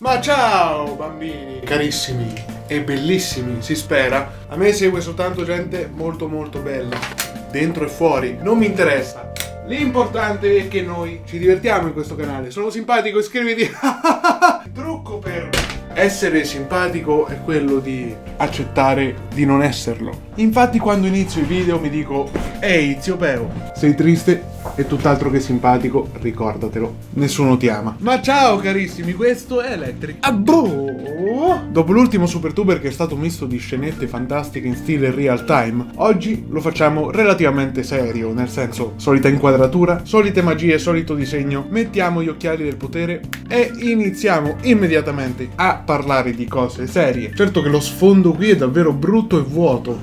Ma ciao bambini, carissimi e bellissimi, si spera. A me segue soltanto gente molto molto bella, dentro e fuori. Non mi interessa testa. L'importante è che noi ci divertiamo in questo canale. Sono simpatico, iscriviti. Il trucco per essere simpatico è quello di accettare di non esserlo. Infatti quando inizio i video mi dico Ehi zio Peo, sei triste e tutt'altro che simpatico, ricordatelo, nessuno ti ama. Ma ciao carissimi, questo è Electric. Abbo! Dopo l'ultimo Super Tuber che è stato misto di scenette fantastiche fantastica in stile real time, oggi lo facciamo relativamente serio, nel senso solita inquadratura, solite magie, solito disegno, mettiamo gli occhiali del potere e iniziamo immediatamente a parlare di cose serie. Certo che lo sfondo qui è davvero brutto e vuoto.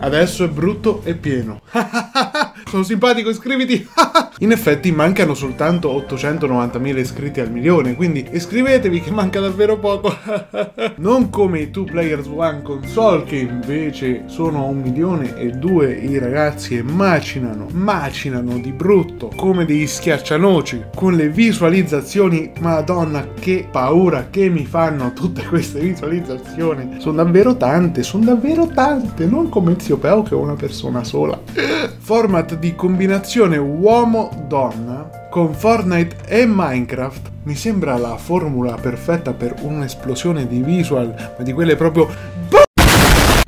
Adesso è brutto e pieno. Sono simpatico, iscriviti! In effetti mancano soltanto 890.000 iscritti al milione, quindi iscrivetevi che manca davvero poco. non come i 2 Players One console che invece sono a un milione e due i ragazzi e macinano, macinano di brutto come degli schiaccianoci con le visualizzazioni. Madonna che paura che mi fanno tutte queste visualizzazioni. Sono davvero tante, sono davvero tante, non come zio Peo che è una persona sola format di combinazione uomo-donna con Fortnite e Minecraft mi sembra la formula perfetta per un'esplosione di visual, ma di quelle proprio...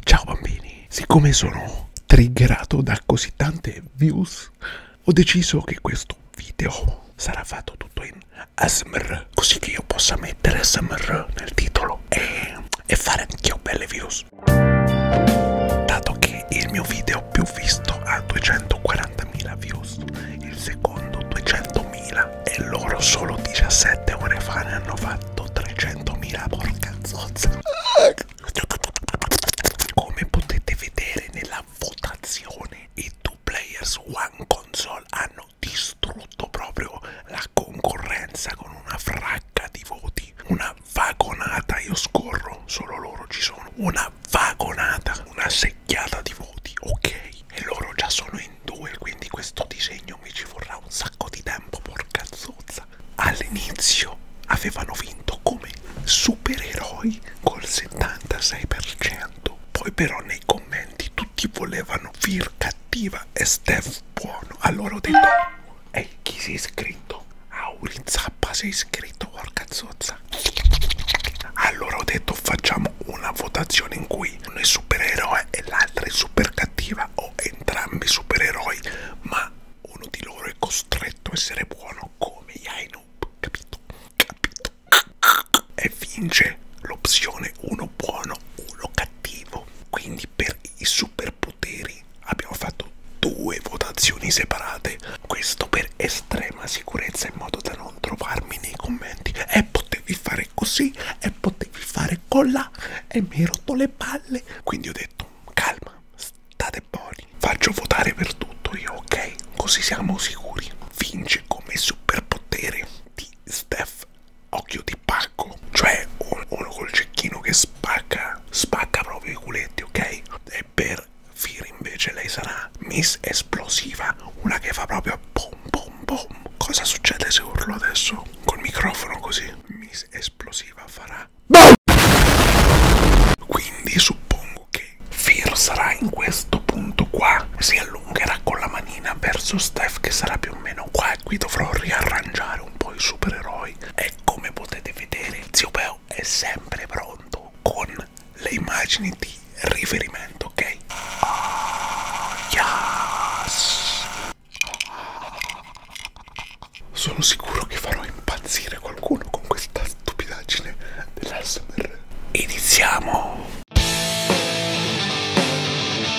Ciao bambini, siccome sono triggerato da così tante views, ho deciso che questo video sarà fatto tutto in ASMR, così che io possa mettere ASMR nel titolo e, e fare anch'io belle views. Dato che il mio video più visto ha 240.000 views, il secondo 200.000 e loro solo 17 ore fa ne hanno fatto 300.000, porca zozza. Come potete vedere nella votazione i Two Players One Console hanno distrutto proprio la concorrenza con una frase sacca di voti, una vagonata, io scorro, solo loro ci sono, una vagonata, una secchiata di voti, ok? E loro già sono in due, quindi questo disegno mi ci vorrà un sacco di tempo, porca zozza. All'inizio avevano vinto come supereroi col 76%, poi però nei commenti tutti volevano Vir cattiva e Steph buono, allora ho detto Ehi, chi si è iscritto? Aurizappa si è iscritto, porca zozza. Allora ho detto facciamo una votazione in cui uno è supereroe e l'altro è super cattiva o entrambi supereroi, ma uno di loro è costretto a essere buono come Yainub, capito? Capito? E vince l'opzione uno buono, uno cattivo. Quindi per i super poteri abbiamo fatto due votazioni separate questo per estrema sicurezza in modo da non trovarmi nei commenti e potevi fare così e potevi fare colla e mi hai rotto le palle quindi ho detto calma state buoni faccio votare per tutto io ok così siamo sicuri vince come superpotere di Steph occhio di pacca spacco, cioè uno col cecchino che spacca, spacca proprio i culetti, ok? E per Fir invece lei sarà Miss Esplosiva, una che fa proprio pom pom pom. Cosa succede se urlo adesso col microfono così? Miss Esplosiva farà BOOM! Quindi suppongo che Fir sarà in questo punto qua, si allungherà con la manina verso Steph che sarà più o meno qua e qui dovrò riarrangiare un po' i supereroi. E ecco, come potete vedere zio Peo è sempre pronto con le immagini di riferimento ok oh, yes. sono sicuro che farò impazzire qualcuno con questa stupidaggine dell'ASMR iniziamo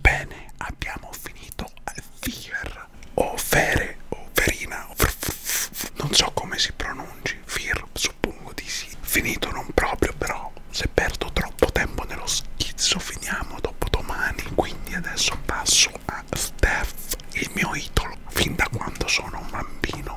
Bene, abbiamo finito Fear o Fere o Verina, o non so come si pronunci, Fear suppongo di sì. Finito non proprio, però se perdo troppo tempo nello schizzo finiamo dopo domani, quindi adesso passo a Steph, il mio idolo, fin da quando sono un bambino.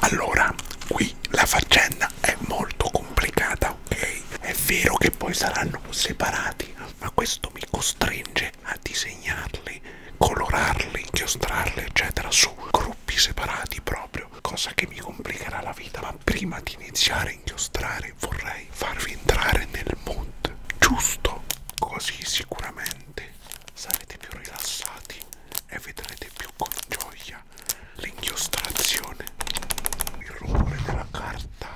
Allora, qui la faccenda è molto complicata, ok? È vero che poi saranno separati, ma questo mi costringe a disegnarli, colorarli, inchiostrarli, eccetera, su gruppi separati proprio, cosa che mi complicherà la vita. Ma prima di iniziare a inchiostrare vorrei farvi entrare nel mood, giusto? Così sicuramente sarete più rilassati e vedrete più con gioia l'inchiostrazione, il rumore della carta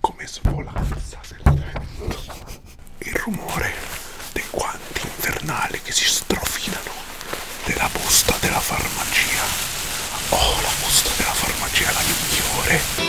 come svolanza del vento, il rumore dei guanti invernali che si strofinano della busta della farmacia. Oh, la busta della farmacia è la migliore!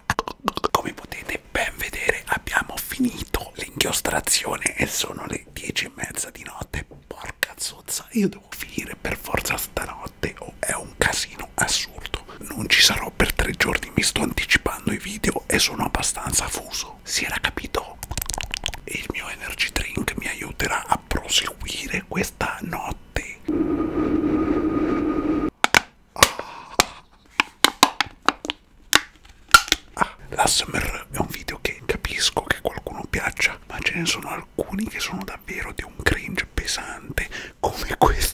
Come potete ben vedere abbiamo finito l'inchiostrazione e sono le 10 e mezza di notte. Porca zozza, io devo finire per forza stanotte o oh, è un casino assurdo. Non ci sarò per tre giorni, mi sto anticipando i video e sono abbastanza fuso. Si era capito? Il mio energy drink mi aiuterà a proseguire questa notte. Ah, l'ASMR è un video che capisco che qualcuno piaccia, ma ce ne sono alcuni che sono davvero di un cringe pesante come questo.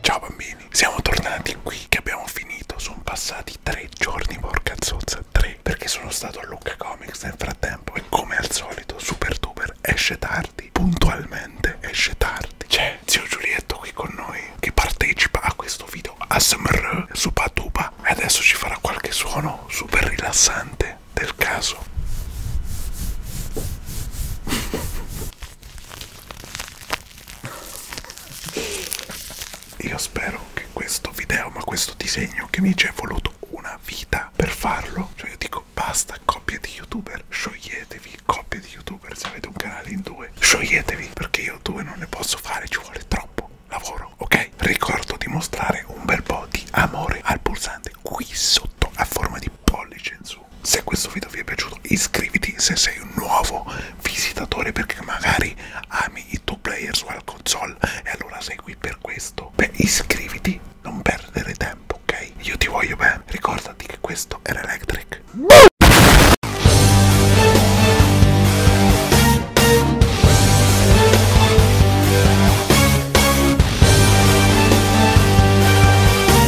Ciao bambini, siamo tornati qui che abbiamo finito, sono passati tre giorni, porca zozza, tre, perché sono stato a Lucca Comics nel frattempo e come al solito Super Duper esce tardi, puntualmente esce tardi. C'è zio Giulietto qui con noi che partecipa a questo video ASMR su Patuba e adesso ci farà qualche suono super rilassante del caso. Io spero che questo video, ma questo disegno che mi ci è voluto una vita per farlo, cioè io dico basta coppie di youtuber, scioglietevi coppie di youtuber se avete un canale in due, scioglietevi perché io due non ne posso fare, ci vuole troppo lavoro, ok? Ricordo di mostrare un bel po' di amore al pulsante qui sotto a forma di pollice in su caso. Se questo video vi è piaciuto iscriviti se sei un nuovo visitatore perché magari ami i two player sulla console e allora sei qui per questo. Beh iscriviti, non perdere tempo, ok? Io ti voglio bene, ricordati che questo era Electric.